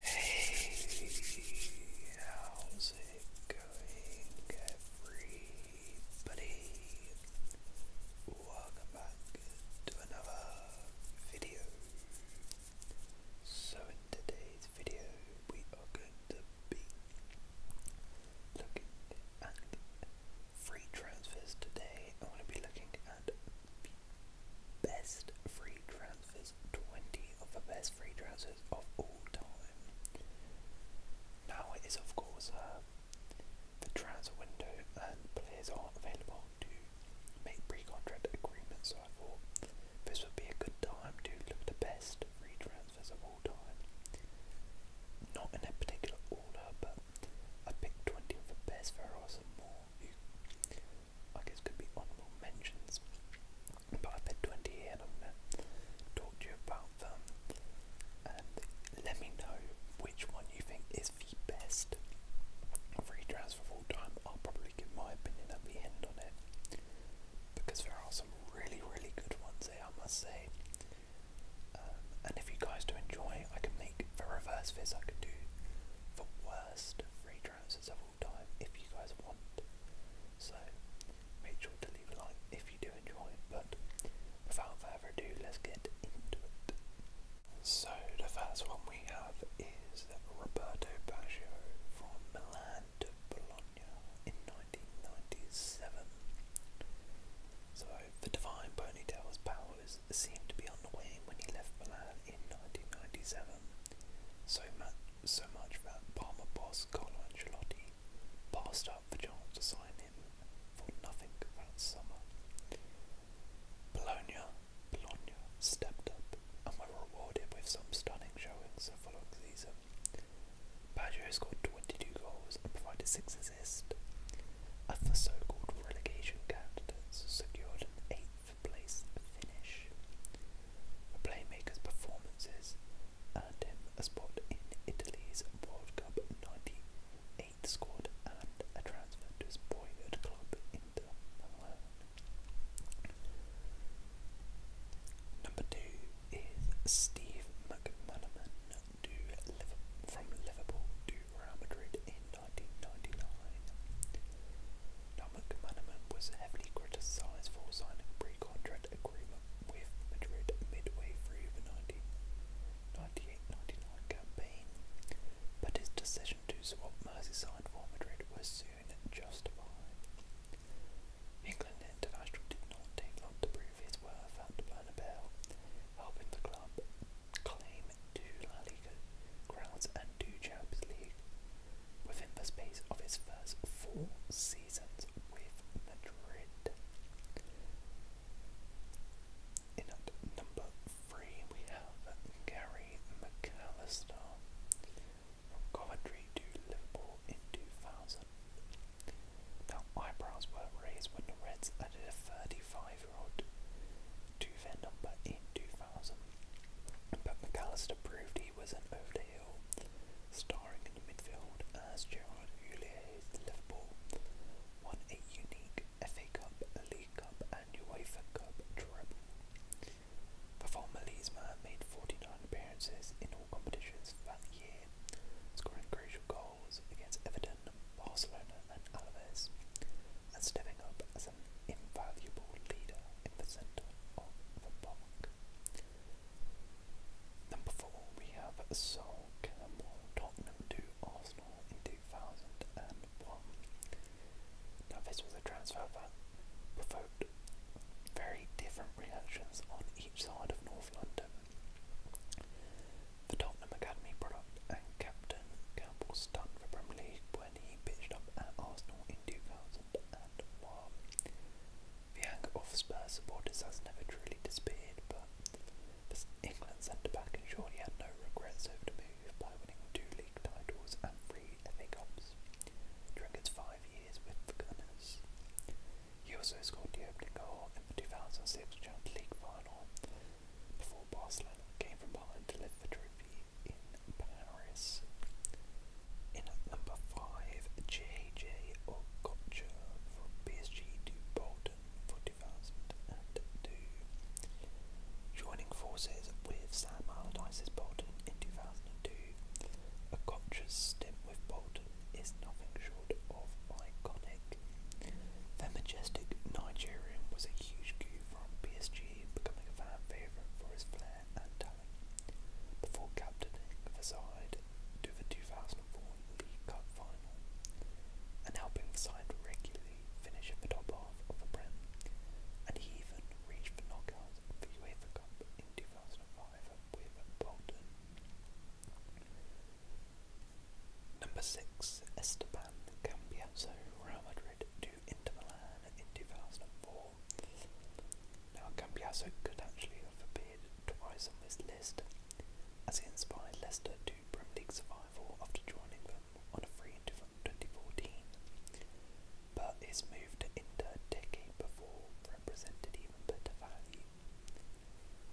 Hey, how's it going, everybody? Welcome back to another video. So, in today's video, we are going to be looking at free transfers today. I'm going to be looking at best free transfers, 20 of the best free transfers of all time. Now it is of course uh, the transfer window and players are available to make pre-contract agreements, so I thought this would be a good time to look at the best free transfers of all time. Not in a particular order, but I picked 20 of the best. There are some more I guess could be honourable mentions. But I've had 20 here and I'm going to talk to you about them. And let me know which one you think is the best free transfer of all time. I'll probably give my opinion at the end on it. Because there are some really, really good ones here, I must say. Um, and if you guys do enjoy, I can make the reverse of this. I could do the worst free transfers of all if you guys want. So make sure to leave a like if you do enjoy But without further ado, let's get into it. So the first one we have is Roberto Baggio from Milan to Bologna in 1997. So the divine ponytail's powers seemed to be on the wane when he left Milan in 1997. So much, so that Parma boss Carlo Ancelotti passed up the chance to sign him for nothing that summer. Bologna, Bologna stepped up and were rewarded with some stunning showings the following season. Baggio scored 22 goals and provided 6 assists. the so-called relegation candidates secured an for place finish. The playmaker's performances earned him a spot in Italy's World Cup 98 squad and a transfer to his boyhood club Inter Milan. Number two is Steve McManaman from Liverpool Real Madrid in 1999. Now McManaman was heavily criticised for signing a pre-contract agreement with Madrid midway through the 1998-99 campaign, but his decision to swap Merseyside for Madrid was soon justified. England International did not take long to prove his worth at Bernabeu, helping the club claim two La Liga crowns and two Champions League within the space of his first four seasons with Madrid. In at number three, we have Gary McAllister from Coventry to Liverpool in 2000. Now, eyebrows were raised when the Reds added a 35 overall to in 2000, but McAllister proved he was an over the hill, starring in midfield as Gerard Houllier Liverpool, won a unique FA Cup, League Cup and UEFA Cup treble. The former Leeds man made 49 appearances in all competitions that year, scoring crucial goals against Everton, Barcelona and Alaves, and stepping up as an invaluable leader in the centre of the park. Number four, we have Sol Campbell, Tottenham to Arsenal in 2001. Now, this was a transfer that provoked very different reactions on each side of North London. The Tottenham Academy product and captain, Campbell stunned the Premier League when he pitched up at Arsenal in 2001. The anger of Spurs supporters has never truly disappeared, but England centre back ensured he had no regrets over the move by winning two league titles and three FA Cups during his five years with the Gunners. He also scored the opening goal in the 2006 Champions League final before Barcelona came from Holland to lift the trophy in Paris. In number 5, JJ Okocha from PSG to Bolton for 2002. Joining forces with Sam Allardyce's Bolton in 2002, Okocha's stint with Bolton is nothing short of iconic. The majestic Nigerian was a huge coup from PSG, becoming a fan favourite for his flair and talent, before captaining the side to the 2004 League Cup final and helping the side regularly finish in the top half of the Prem, and he even reached the knockouts of the UEFA Cup in 2005 with Bolton. Number 6. Esteban Cambiaso, Real Madrid to Inter Milan in 2004. Now, Cambiaso could actually have appeared twice on this list, as he inspired Leicester to Premier League survival after joining them on a free in 2014. But his move to Inter a decade before represented even better value.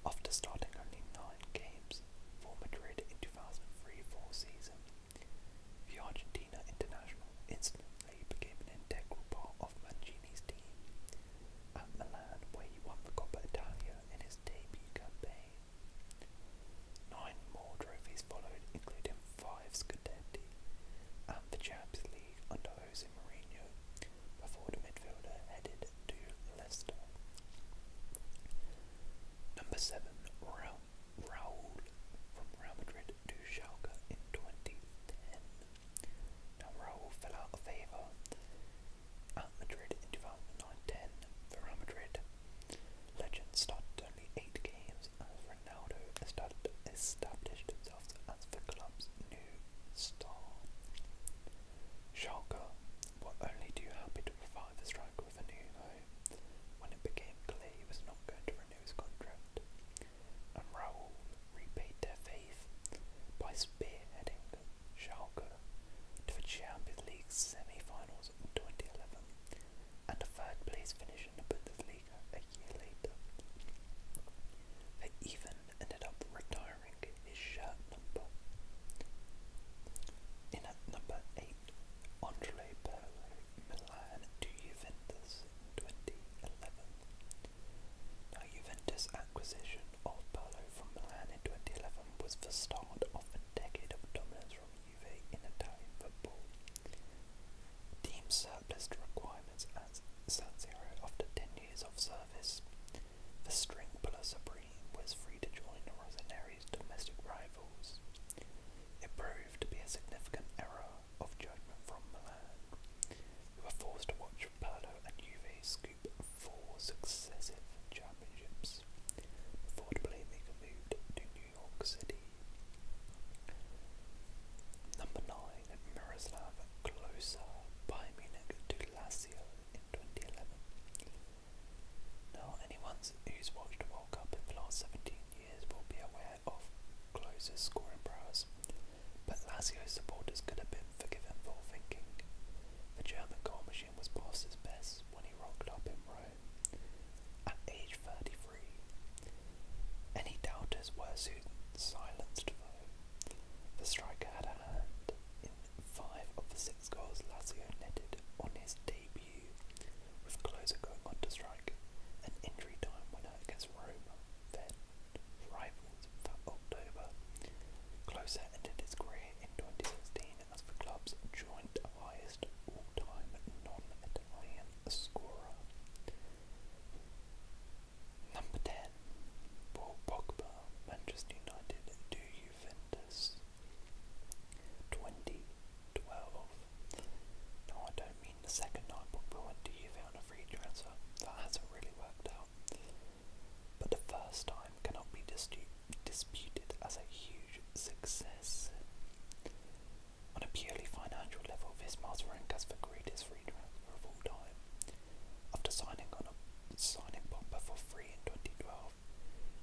After starting only nine games, for Madrid in 2003 and three-four season. The Argentina international instantly became an integral part of Mancini's team. At Milan, where he won the Coppa Italia in his debut campaign. Nine more trophies followed, including five Scudetti and the Champions League under Jose Mourinho, before the midfielder headed to Leicester. Number 7, Ra Raul from Real Madrid to Schalke in 2010. Now Raul fell out of favour at Madrid in 2009-10 for Real Madrid. Legend started only 8 games as Ronaldo established himself as the club's new star. Schalke what only too happy to provide the striker with a new home, when it became clear he was not going to renew his contract, and Raúl repaid their faith by spearheading Schalke to the Champions League semi-finals in 2011 and a third-place finish in the Bundesliga a year later. They even ended up retiring. Uh, in at number eight, Andrea Pirlo, Milan to Juventus 2011. Now, Juventus' acquisition of Pirlo from Milan in 2011 was the start of a decade of dominance from Juve in Italian football. Teams surpassed requirements at San Siro after 10 years of service. The string puller supreme was free to join Rosanary's domestic rivals. It proved to be a significant error of judgment from Milan, who were forced to watch Pirlo and Uva scoop four successive championships before the playmaker moved to New York City. Number 9. Miroslav Klose, by Munich to Lazio in 2011. Now, anyone who's watched a World Cup in the last 17 years will be aware of Close's scoring prowess, but Lazio's supporters could have been forgiven for thinking the German goal machine was past his best when he rocked up in Rome at age 33. Any doubters were soon silenced, The striker had a hand in five of the six six goals Lazio netted on his debut, with Closer going on to strike an injury time winner against Roma, then rivals that October. Closer ended his career in 2016 as the club's joint highest all-time non-Italian scorer. Number 10. Paul Pogba, Manchester United. Do you Juventus. 2012. No, I don't mean the second night Pogba went to Juve a free transfer. That hasn't really worked out. But the first time cannot be disputed. as a huge success. On a purely financial level, this marks rank as the greatest free transfer of all time. After signing on a signing Pogba for free in 2012,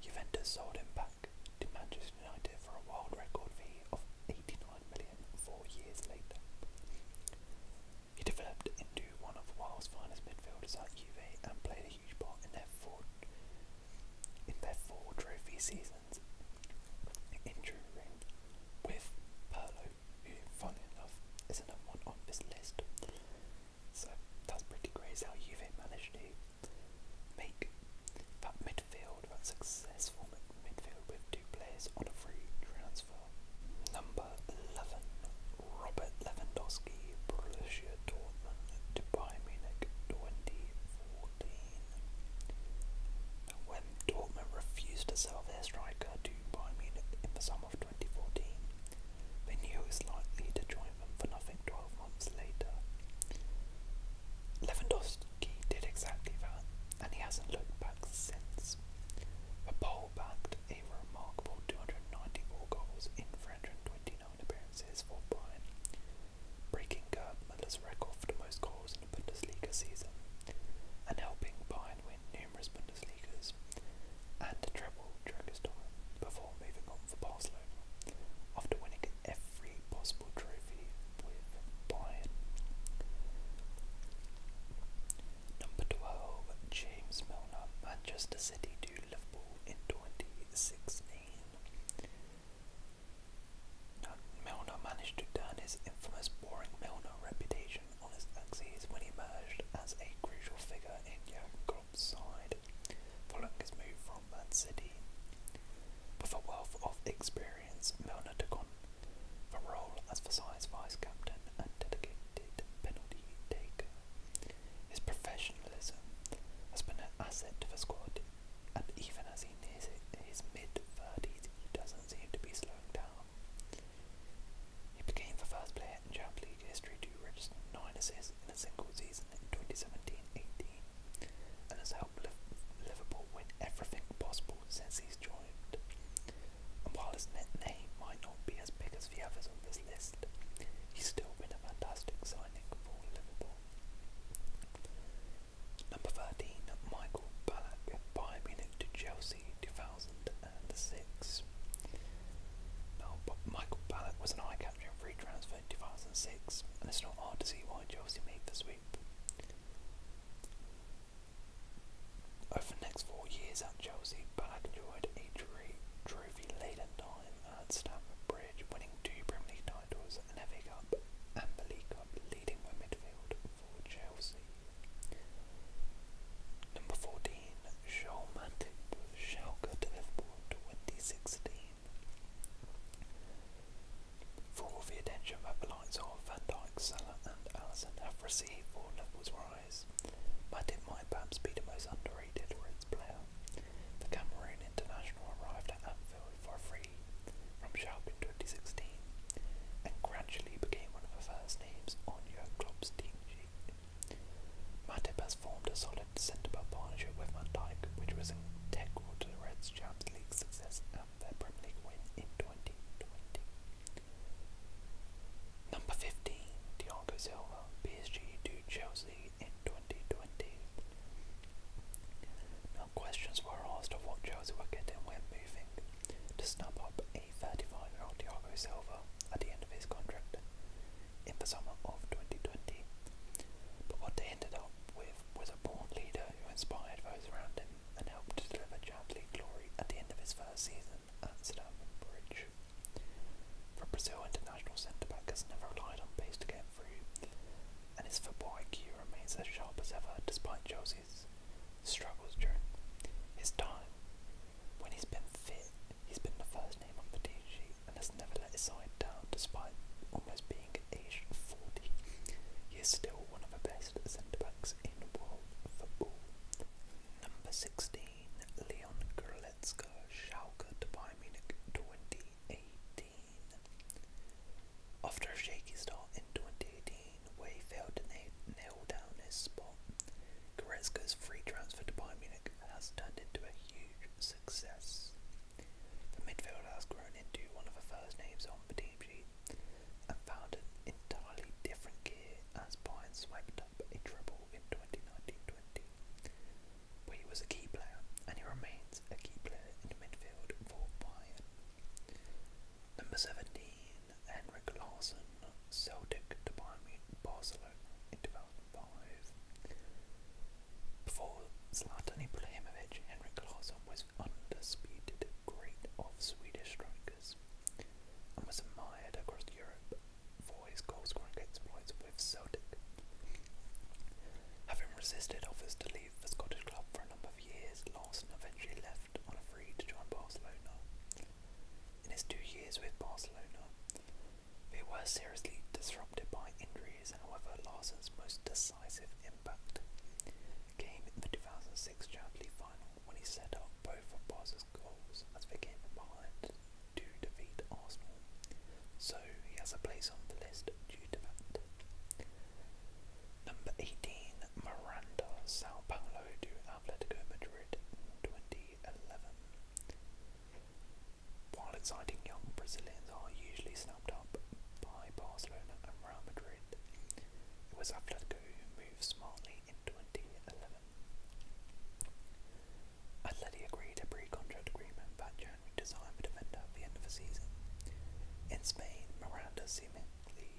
Juventus sold him back to Manchester United for a world record fee of 89 million. Four years later. He developed into one of the world's finest midfielders at Juve and played a huge part in their four, in their four trophy seasons, injuring with Perlo, who, funnily enough, is another one on this list. So that's pretty great. how you've managed to make that midfield, that successful midfield with two players on a free transfer. Number 11, Robert Lewandowski, Borussia Dortmund to Bayern Munich 2014. when Dortmund refused to sell their striker to Bayern Munich in the summer of 2014, they knew he was likely to join them for nothing 12 months later. Lewandowski did exactly that, and he hasn't looked back since. The Pole backed a remarkable 294 goals in 329 appearances for Bayern, breaking Gerd Muller's record for the most goals in the Bundesliga season, and helping Bayern win numerous Bundesligas and a treble during his time before moving on for Barcelona after winning every possible trophy with Bayern. Number 12, James Milner, Manchester City to Liverpool in 2016. Now, Milner managed to turn his infamous boring Milner reputation on its axis when he emerged as a crucial figure in Jurgen side, following his move from Man City. With a wealth of experience, Milner took on the role as Versailles vice captain and dedicated penalty taker. His professionalism has been an asset to the squad, and even as he nears his mid 30s, he doesn't seem to be slowing down. He became the first player Champions League history to register 9 assists in a single season in 2017-18 and has helped Liverpool win everything possible since he's joined. And while his net name might not be as big as the others on this list, he's still been a fantastic signing for Liverpool. Number 13, Michael Ballack, Bayern Munich to Chelsea 2000 and a 6. Now, Michael Ballack was an eye-catching free transfer in 2006, and it's not hard to see why Chelsea made the sweep. Over the next four years at Chelsea, Ballack enjoyed a trophy-laden time at Stamford Bridge, winning two Premier League titles, an FA Cup and the League Cup, leading the midfield for Chelsea. Number 14, Joel Matip shall to 2016. For all the attention that Van Dijk, Salah and Allison have received for Liverpool's rise, Matip might perhaps be the most underrated Reds player. The Cameroon international arrived at Anfield for free from Schalke 2016 and gradually became one of the first names on Jurgen Klopp's team sheet. Matip has formed a solid centre-back partnership with Van Dijk, which was integral to the Reds' Champions League success and their Premier League win in 2020. Number 15, Thiago Silva, PSG to Chelsea in 2020. Now questions were asked of what Chelsea were getting when moving to snap up a 35-year-old Thiago Silva at the end of his contract in the summer of 2020. But what they ended up with was a born leader who inspired those around him and helped to deliver Champions League glory at the end of his first season at Stamford Bridge. The Brazil international centre-back has never relied on pace to get through, and his football IQ remains as sharp as ever despite Chelsea struggles during his time. When he's been fit, he's been the first name on the team sheet and has never let his side down despite almost being at 40. He is still one of the best centre backs in world football. Number 16, Leon Goretzka, Schalke to Bayern Munich 2018. After a shaky start in 2018, Way failed to nail down his spot. Goretzka's free transfer to Bayern Munich has turned into a huge success. The midfielder has grown into one of the first names on the team sheet and found an entirely different gear as Bayern swept up a treble in 2019-20. But he was a key player and he remains a key player in the midfield for Bayern. Number 17, Henrik Larsson, Celtic to Barcelona in 2005. Before Zlatan Ibrahimovic, Henrik Larsson was undisputed great of Swedish strikers and was admired across Europe for his goal-scoring exploits with Celtic. Having resisted offers to leave the Scottish club for a number years, Lawson eventually left on a free to join Barcelona. In his two years with Barcelona, they was seriously disrupted by injuries, however, Larsen's most decisive impact came in the 2006 Champions League final when he set up both of Barca's goals as they came from behind to defeat Arsenal, so he has a place on the list due to that. Number 18, Miranda, Sao Paulo do Atletico Madrid 2011. While exciting young Brazilians are usually snapped up by Barcelona and Real Madrid, it was Atletico who moved smartly in 2011. Atleti agreed a pre-contract agreement that January to sign the defender at the end of the season. In Spain, Miranda seemingly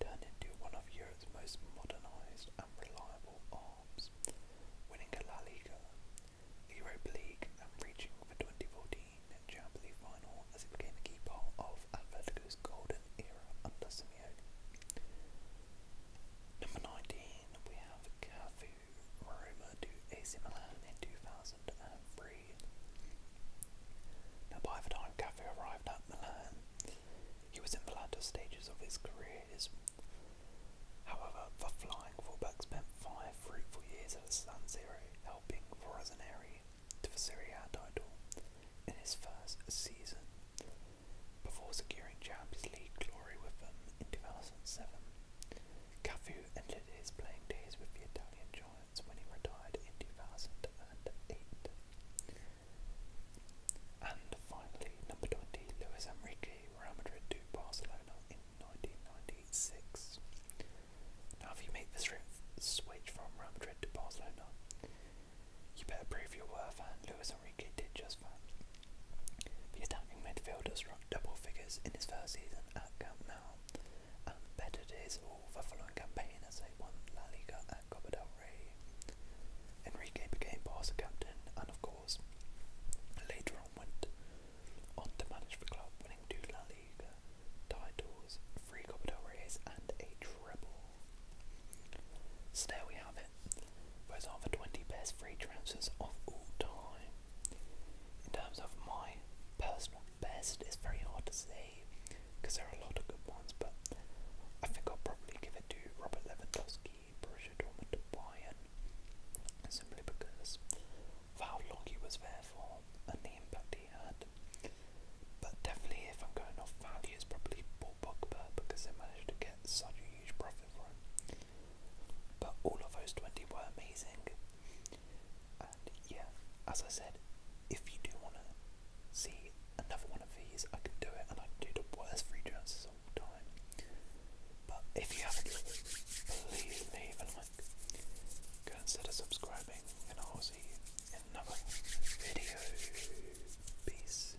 turned into one of Europe's most modernised and reliable arms, winning a La Liga, Europa League and reaching the 2014 Champions League final as he became a key of Atletico's golden era under Simeone. Number 19, we have Cafu, Roma to AC Milan in 2003. Now, by the time Cafe arrived at Milan, he was in the latter stages of his career. However, the flying fullback spent five fruitful years at San Siro, helping Vorosaneri to the Serie A title in his first season, before securing Champions League glory with them in 2007. Cafu ended his playing days with the Italian giant. Netherlands when he retired in 2008. And finally, number 20, Luis Enrique, Real Madrid to Barcelona in 1996. Now, if you make the switch from Real Madrid to Barcelona, you better prove your worth, and Luis Enrique did just that. The attacking midfielder struck double figures in his first season at Camp now. Um, Betted all the following campaign as they won La Liga and Copa del Rey. Enrique became Barca captain and, of course, later on went on to manage the club, winning two La Liga titles, three Copa del Reyes, and a treble. So there we have it. Those are the 20 best free transfers of all time. In terms of my personal best is very hard to say because there are a lot of good ones, but I think I'll probably give it to Robert Lewandowski, Borussia Dortmund, Bayern, simply because of how long he was there for and the impact he had. But definitely, if I'm going off value, it's probably Paul Pogba because they managed to get such a huge profit for him. But all of those 20 were amazing, and yeah, as I said, if you do want to see another one of these, I can do it and I can do the worst free chances But if you haven't, please leave a like. Consider subscribing, and I'll see you in another video. Peace.